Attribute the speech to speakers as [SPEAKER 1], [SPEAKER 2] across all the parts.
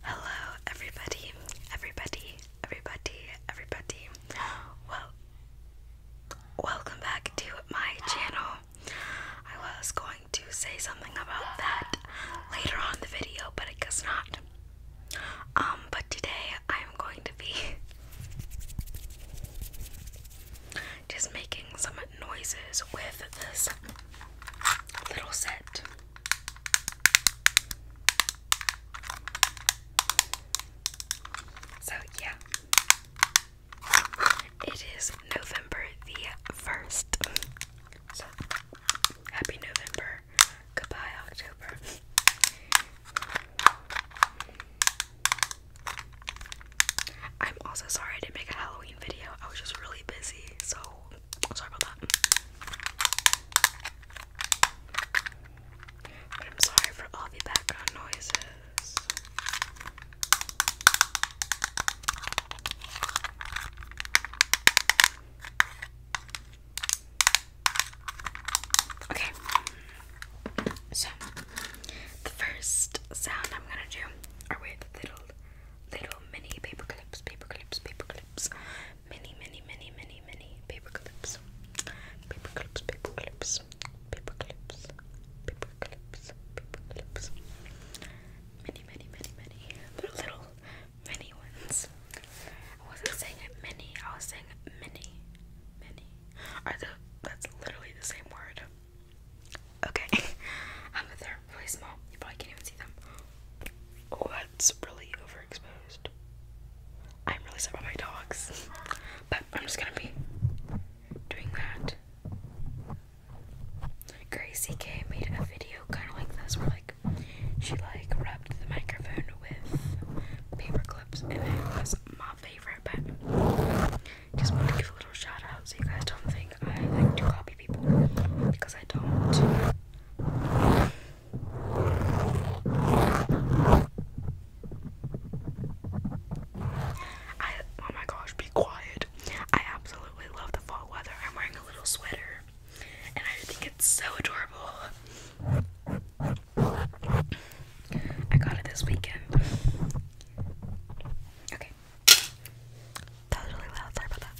[SPEAKER 1] Hello, everybody, everybody, everybody, everybody. Well, welcome back to my channel. I was going to say something about that later on the video, but I guess not. Um, but today I'm going to be just making some noises with this little set. So, yeah, it is November the 1st. happy November. Goodbye, October. I'm also sorry I didn't make a Halloween video. I was just really busy, so Sorry about that. I'm sorry for all the background noises. Okay, so the first sound I'm gonna do. Or wait, little little mini paper clips, paper clips, paper clips, mini, mini, mini, mini, mini paper clips, paper clips, paper clips, paper clips, paper clips, paper clips, mini, mini, mini, mini, but little mini ones. I wasn't saying mini, I was saying mini, mini. Are the that's literally the same word. Okay. um, they're really small. You probably can't even see them. Oh, that's really overexposed. I'm really sorry about my dogs. But I'm just gonna be doing that. Gracie K made a video kind of like this where like she like rubbed the microphone with paper clips and that was my favorite but just wanted little so you guys don't think I like to copy people because I don't. I oh my gosh, be quiet. I absolutely love the fall weather. I'm wearing a little sweater and I think it's so adorable. I got it this weekend. Okay. That was really loud. Sorry about that.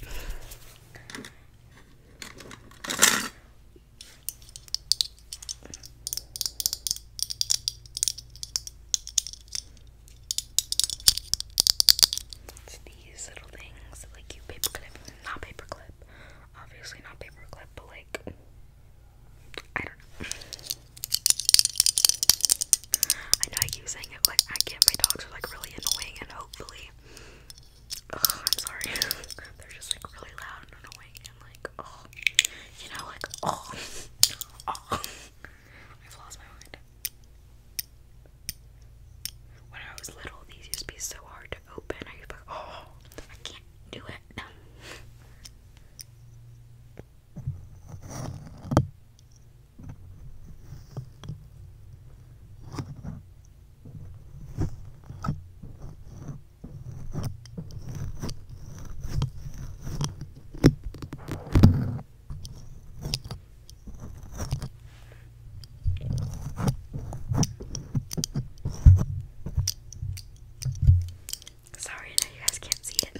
[SPEAKER 1] It's these little things like you paperclip, not paperclip, obviously not paperclip, but like I don't I know I keep saying if like I get my dogs are like really annoying and hopefully I'm sorry. They're just like really loud and annoying and like oh you know like oh, oh. I've lost my mind. When I was little these used to be so hard to open. I used like, oh I can't do it. Sorry, you guys can't see it.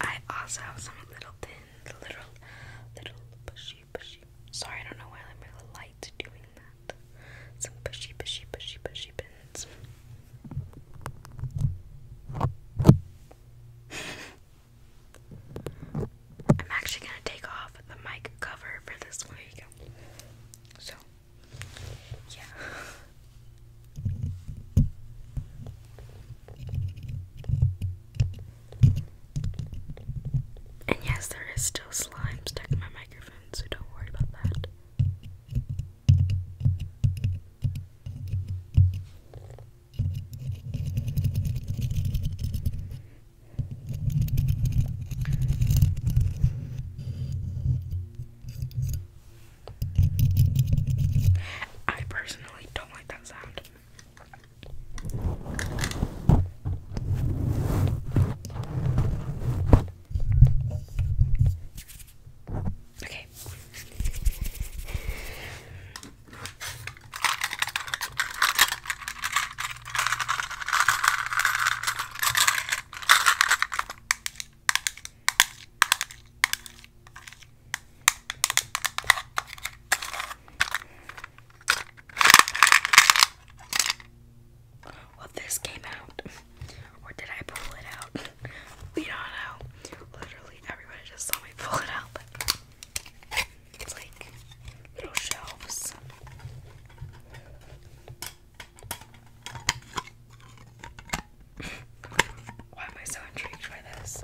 [SPEAKER 1] I also have some little thin, little, little pushy, pushy. Sorry, I don't know why my light's doing that. Some pushy, pushy, pushy, pushy pins. I'm actually gonna take off the mic cover for this one. There you go. So, yeah. And yes, there is still slime stuck in my microphone, so don't worry about that. I personally don't like that sound. Okay. Well, this came out, or did I pull it out? we don't know. Literally, everybody just saw me pull it out. it's like little shelves. Why am I so intrigued by this?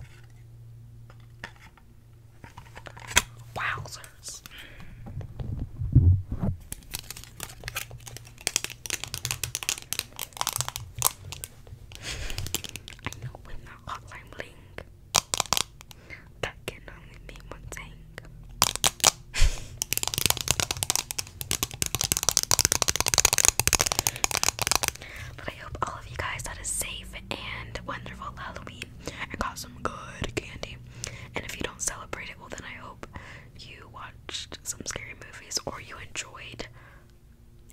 [SPEAKER 1] Wowzers. when the hotline bling. That can only mean one thing. But I hope all of you guys had a safe and wonderful Halloween and got some good candy. And if you don't celebrate it, well, then I hope you watched some scary movies or you enjoyed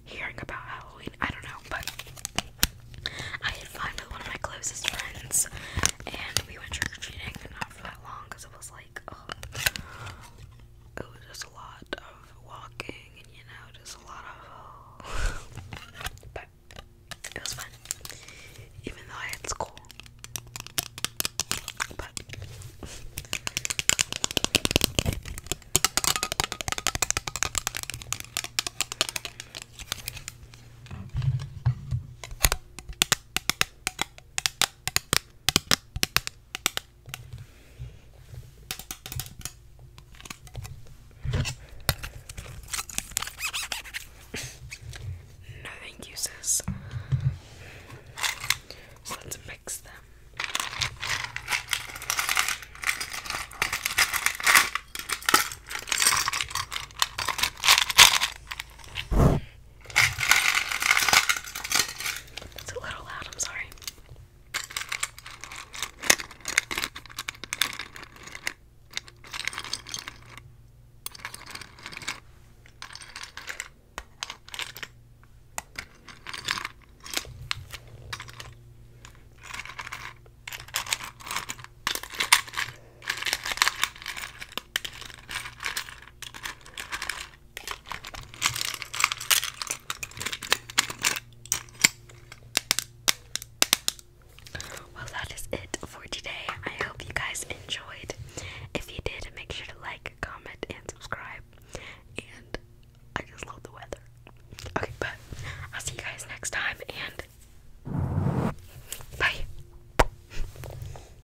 [SPEAKER 1] hearing about Halloween. I don't know, but I had fun with one of my closest friends and we went trick or treating not for that long it was like like, oh, it was just a lot of walking and you know, just a lot of, but it was fun, even though I had school. But no thank you, sis. let's mix them. It's a little loud, I'm sorry. Well, that is it for today. I hope you guys enjoyed. If you did, make sure to like, comment, and subscribe. And I just love the weather. Okay, but I'll see you guys next time and bye.